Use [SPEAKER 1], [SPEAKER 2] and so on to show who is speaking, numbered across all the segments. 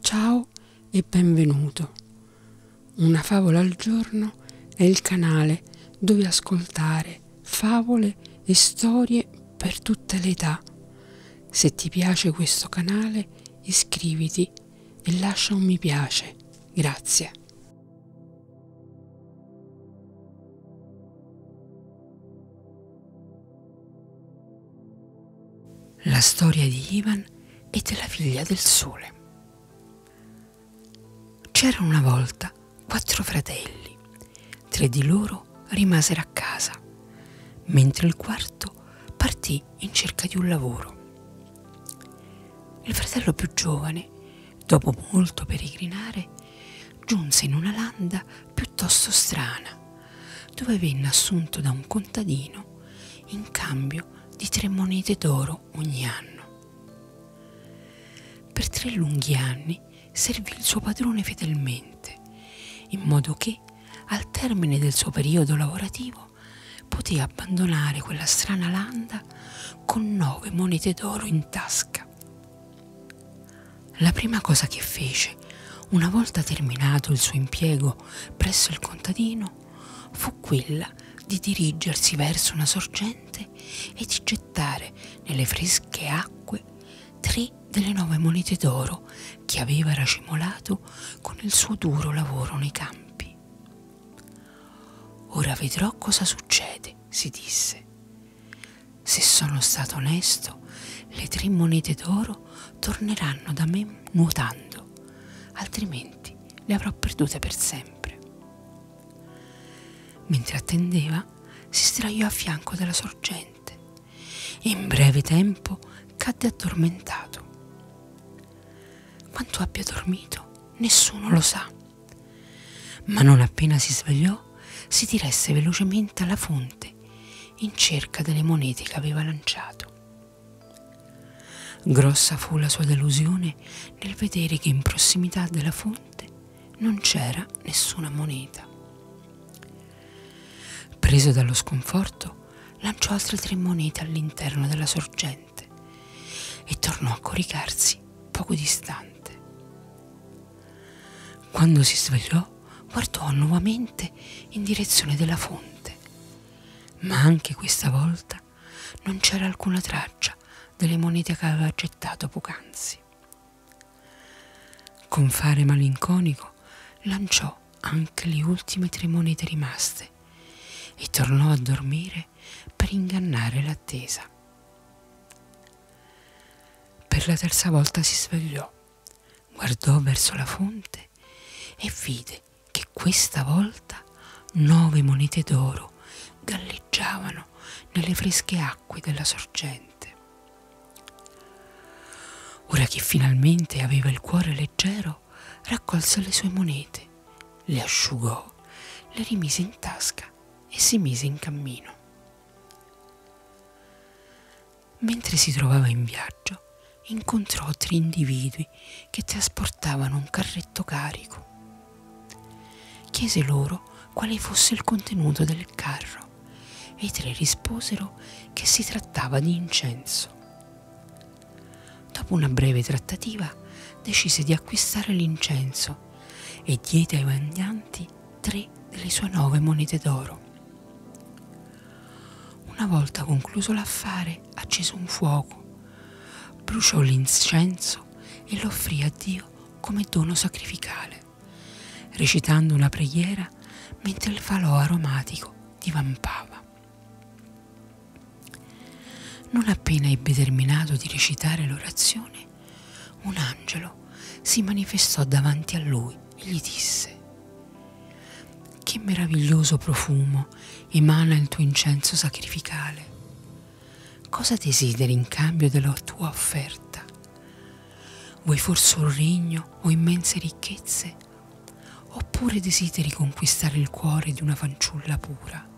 [SPEAKER 1] Ciao e benvenuto. Una favola al giorno è il canale dove ascoltare favole e storie per tutte le età. Se ti piace questo canale iscriviti e lascia un mi piace. Grazie. La storia di Ivan e della figlia del sole. C'erano una volta quattro fratelli, tre di loro rimasero a casa, mentre il quarto partì in cerca di un lavoro. Il fratello più giovane, dopo molto peregrinare, giunse in una landa piuttosto strana, dove venne assunto da un contadino in cambio di tre monete d'oro ogni anno. Per tre lunghi anni servì il suo padrone fedelmente, in modo che al termine del suo periodo lavorativo poté abbandonare quella strana landa con nove monete d'oro in tasca. La prima cosa che fece, una volta terminato il suo impiego presso il contadino, fu quella di dirigersi verso una sorgente e di gettare nelle fresche acque tre delle nove monete d'oro che aveva racimolato con il suo duro lavoro nei campi. Ora vedrò cosa succede, si disse. Se sono stato onesto, le tre monete d'oro torneranno da me nuotando, altrimenti le avrò perdute per sempre. Mentre attendeva, si sdraiò a fianco della sorgente e in breve tempo cadde addormentato. Quanto abbia dormito, nessuno lo sa. Ma non appena si svegliò, si diresse velocemente alla fonte in cerca delle monete che aveva lanciato. Grossa fu la sua delusione nel vedere che in prossimità della fonte non c'era nessuna moneta. Preso dallo sconforto, lanciò altre tre monete all'interno della sorgente e tornò a coricarsi poco distante. Quando si svegliò, guardò nuovamente in direzione della fonte, ma anche questa volta non c'era alcuna traccia delle monete che aveva gettato poc'anzi. Con fare malinconico lanciò anche le ultime tre monete rimaste e tornò a dormire per ingannare l'attesa. Per la terza volta si svegliò, guardò verso la fonte e vide che questa volta nove monete d'oro galleggiavano nelle fresche acque della sorgente. Ora che finalmente aveva il cuore leggero, raccolse le sue monete, le asciugò, le rimise in tasca e si mise in cammino. Mentre si trovava in viaggio, incontrò tre individui che trasportavano un carretto carico. Chiese loro quale fosse il contenuto del carro e i tre risposero che si trattava di incenso. Dopo una breve trattativa decise di acquistare l'incenso Egitto e diede ai mandanti tre delle sue nove monete d'oro. Una volta concluso l'affare, accese un fuoco, bruciò l'incenso e lo offrì a Dio come dono sacrificale, recitando una preghiera mentre il falò aromatico divampava. Non appena ebbe terminato di recitare l'orazione, un angelo si manifestò davanti a lui e gli disse, che meraviglioso profumo emana il tuo incenso sacrificale. Cosa desideri in cambio della tua offerta? Vuoi forse un regno o immense ricchezze? Oppure desideri conquistare il cuore di una fanciulla pura?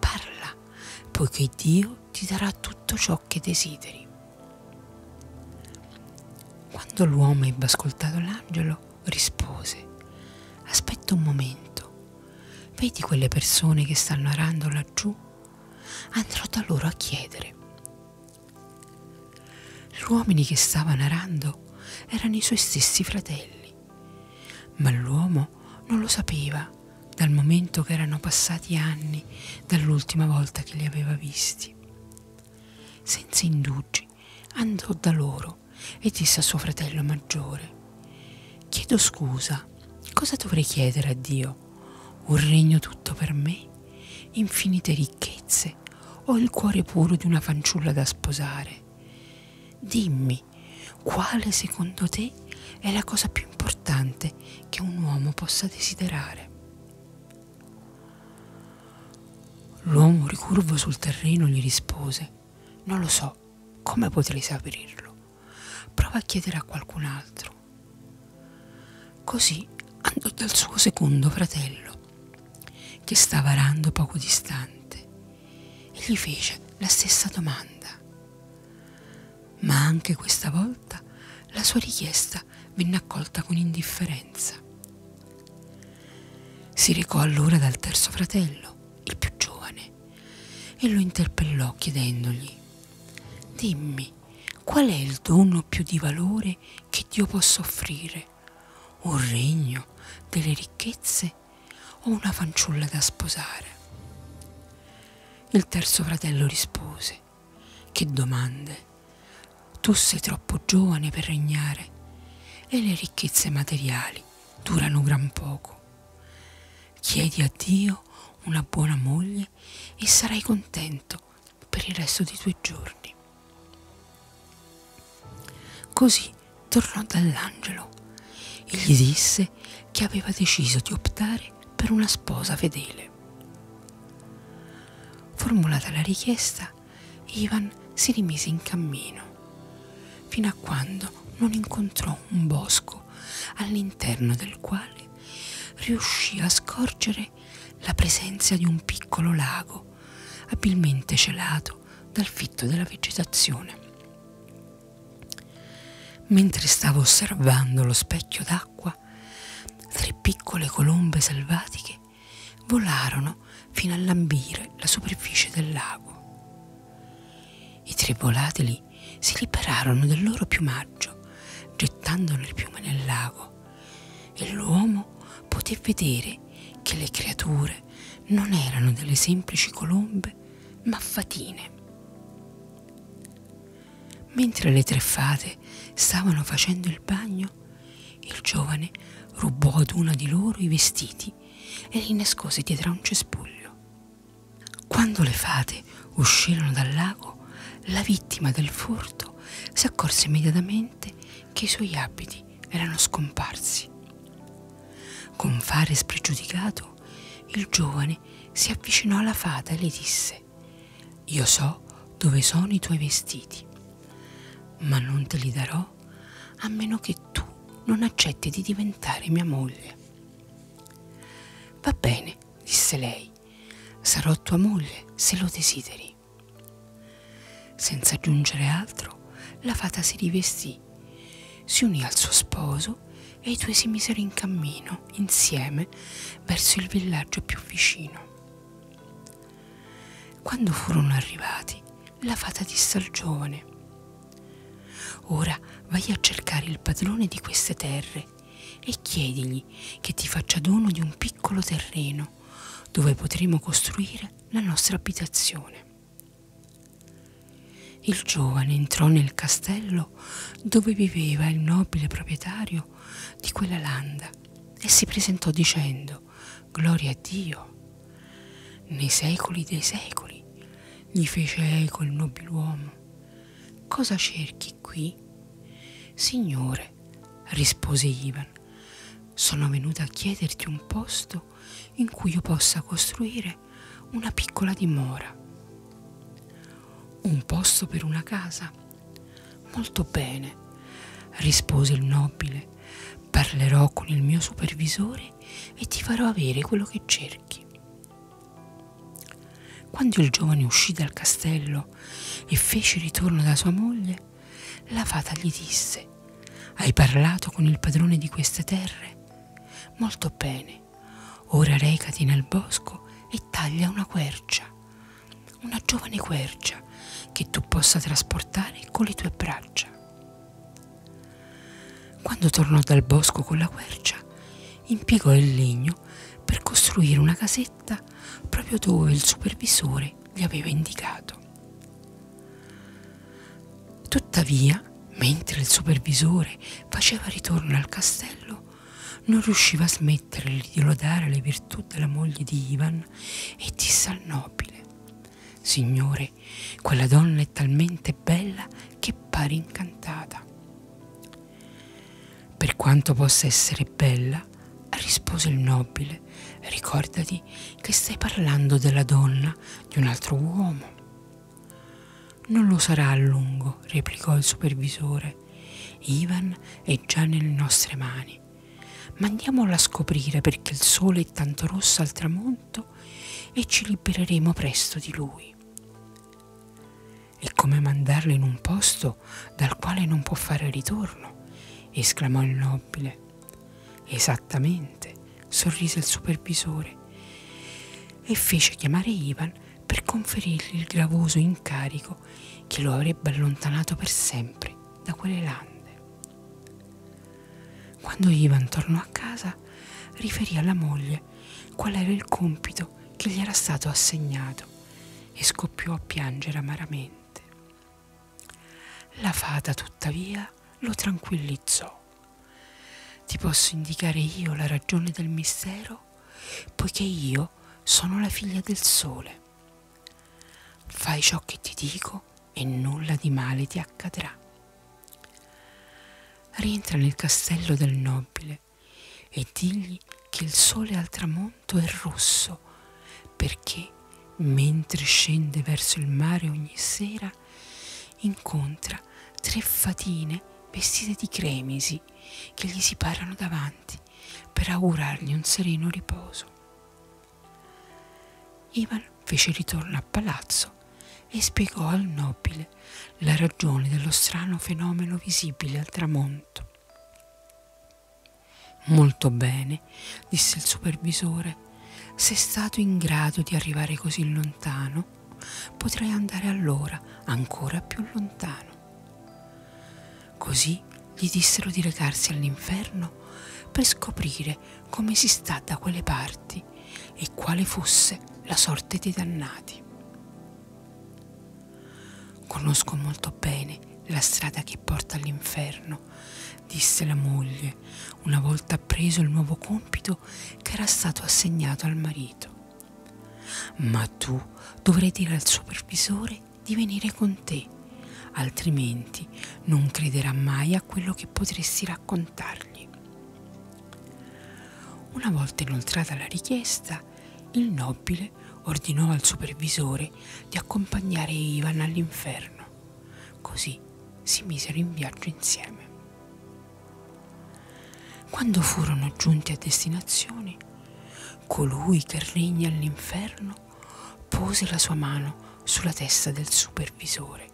[SPEAKER 1] Parla, poiché Dio ti darà tutto ciò che desideri. Quando l'uomo ebbe ascoltato l'angelo, rispose, aspetta un momento, vedi quelle persone che stanno arando laggiù? Andrò da loro a chiedere. Gli uomini che stavano arando erano i suoi stessi fratelli, ma l'uomo non lo sapeva dal momento che erano passati anni dall'ultima volta che li aveva visti. Senza indugi andò da loro e disse a suo fratello maggiore, chiedo scusa, cosa dovrei chiedere a Dio? Un regno tutto per me? Infinite ricchezze? Ho il cuore puro di una fanciulla da sposare. Dimmi quale secondo te è la cosa più importante che un uomo possa desiderare? L'uomo ricurvo sul terreno gli rispose, non lo so, come potrei saperlo? Prova a chiedere a qualcun altro. Così andò dal suo secondo fratello, che stava arando poco distante, e gli fece la stessa domanda. Ma anche questa volta la sua richiesta venne accolta con indifferenza. Si recò allora dal terzo fratello, il più giovane, e lo interpellò chiedendogli, Dimmi, qual è il dono più di valore che Dio possa offrire? Un regno, delle ricchezze ho una fanciulla da sposare. Il terzo fratello rispose, Che domande? Tu sei troppo giovane per regnare e le ricchezze materiali durano gran poco. Chiedi a Dio una buona moglie e sarai contento per il resto dei tuoi giorni. Così tornò dall'angelo e gli disse che aveva deciso di optare per una sposa fedele. Formulata la richiesta, Ivan si rimise in cammino, fino a quando non incontrò un bosco all'interno del quale riuscì a scorgere la presenza di un piccolo lago abilmente celato dal fitto della vegetazione. Mentre stavo osservando lo specchio d'acqua, tre piccole colombe selvatiche volarono fino a lambire la superficie del lago. I tre volatili si liberarono del loro piumaggio, gettando le piume nel lago, e l'uomo poté vedere che le creature non erano delle semplici colombe, ma fatine. Mentre le tre fate stavano facendo il bagno, il giovane rubò ad una di loro i vestiti e li nascose dietro a un cespuglio. Quando le fate uscirono dal lago, la vittima del furto si accorse immediatamente che i suoi abiti erano scomparsi. Con fare spregiudicato, il giovane si avvicinò alla fata e le disse Io so dove sono i tuoi vestiti, ma non te li darò a meno che tu non accetti di diventare mia moglie. Va bene, disse lei, sarò tua moglie se lo desideri. Senza aggiungere altro, la fata si rivestì, si unì al suo sposo e i due si misero in cammino insieme verso il villaggio più vicino. Quando furono arrivati, la fata disse al giovane, Ora vai a cercare il padrone di queste terre e chiedigli che ti faccia dono di un piccolo terreno dove potremo costruire la nostra abitazione. Il giovane entrò nel castello dove viveva il nobile proprietario di quella landa e si presentò dicendo Gloria a Dio. Nei secoli dei secoli gli fece eco il nobiluomo. Cosa cerchi qui? Signore, rispose Ivan, sono venuta a chiederti un posto posto in cui io possa costruire una piccola dimora. Un posto per una casa. Molto bene, rispose il nobile. Parlerò con il mio supervisore e ti farò avere quello che cerchi. Quando il giovane uscì dal castello e fece ritorno da sua moglie, la fata gli disse, hai parlato con il padrone di queste terre? Molto bene, ora recati nel bosco e taglia una quercia, una giovane quercia che tu possa trasportare con le tue braccia. Quando tornò dal bosco con la quercia, impiegò il legno per costruire una casetta proprio dove il supervisore gli aveva indicato. Tuttavia, mentre il supervisore faceva ritorno al castello, non riusciva a smettere di lodare le virtù della moglie di Ivan e disse al nobile Signore, quella donna è talmente bella che pare incantata. Per quanto possa essere bella, rispose il nobile, ricordati che stai parlando della donna di un altro uomo. Non lo sarà a lungo, replicò il supervisore. Ivan è già nelle nostre mani. Ma andiamola a scoprire perché il sole è tanto rosso al tramonto e ci libereremo presto di lui. È come mandarlo in un posto dal quale non può fare ritorno, esclamò il nobile nobile. Esattamente, sorrise il supervisore e fece chiamare Ivan per conferirgli il gravoso incarico che lo avrebbe allontanato per sempre da quelle lande. Quando Ivan tornò a casa, riferì alla moglie qual era il compito che gli era stato assegnato e scoppiò a piangere amaramente. La fata tuttavia lo tranquillizzò. Ti posso indicare io la ragione del mistero, poiché io sono la figlia del sole. Fai ciò che ti dico e nulla di male ti accadrà. Rientra nel castello del nobile e digli che il sole al tramonto è rosso, perché mentre scende verso il mare ogni sera incontra tre fatine vestite di cremisi che gli si parano davanti per augurargli un sereno riposo. Ivan fece ritorno a palazzo e spiegò al nobile la ragione dello strano fenomeno visibile al tramonto. Molto bene, disse il supervisore. Sei stato in grado di arrivare così lontano. Potrai andare allora ancora più lontano. Così gli dissero di recarsi all'inferno per scoprire come si sta da quelle parti e quale fosse la sorte dei dannati. Conosco molto bene la strada che porta all'inferno, disse la moglie, una volta preso il nuovo compito che era stato assegnato al marito. Ma tu dovrai dire al supervisore di venire con te, altrimenti non crederà mai a quello che potresti raccontargli. Una volta inoltrata la richiesta, il nobile Michele ordinò al supervisore di accompagnare Ivan all'inferno. Così si misero in viaggio insieme. Quando furono giunti a destinazione, colui che regna all'inferno pose la sua mano sulla testa del supervisore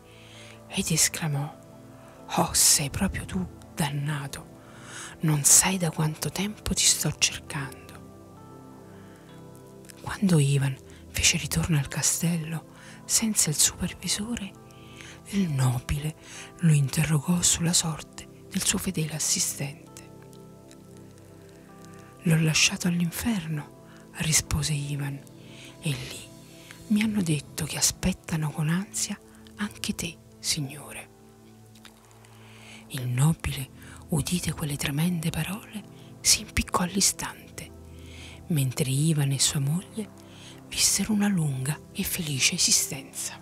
[SPEAKER 1] ed esclamò Oh, sei proprio tu, dannato! Non sai da quanto tempo ti sto cercando. Quando Ivan fece ritorno al castello senza il supervisore, il nobile lo interrogò sulla sorte del suo fedele assistente. L'ho lasciato all'inferno, rispose Ivan, e lì mi hanno detto che aspettano con ansia anche te, Signore. Il nobile, udite quelle tremende parole, si impiccò all'istante, mentre Ivan e sua moglie vissero una lunga e felice esistenza.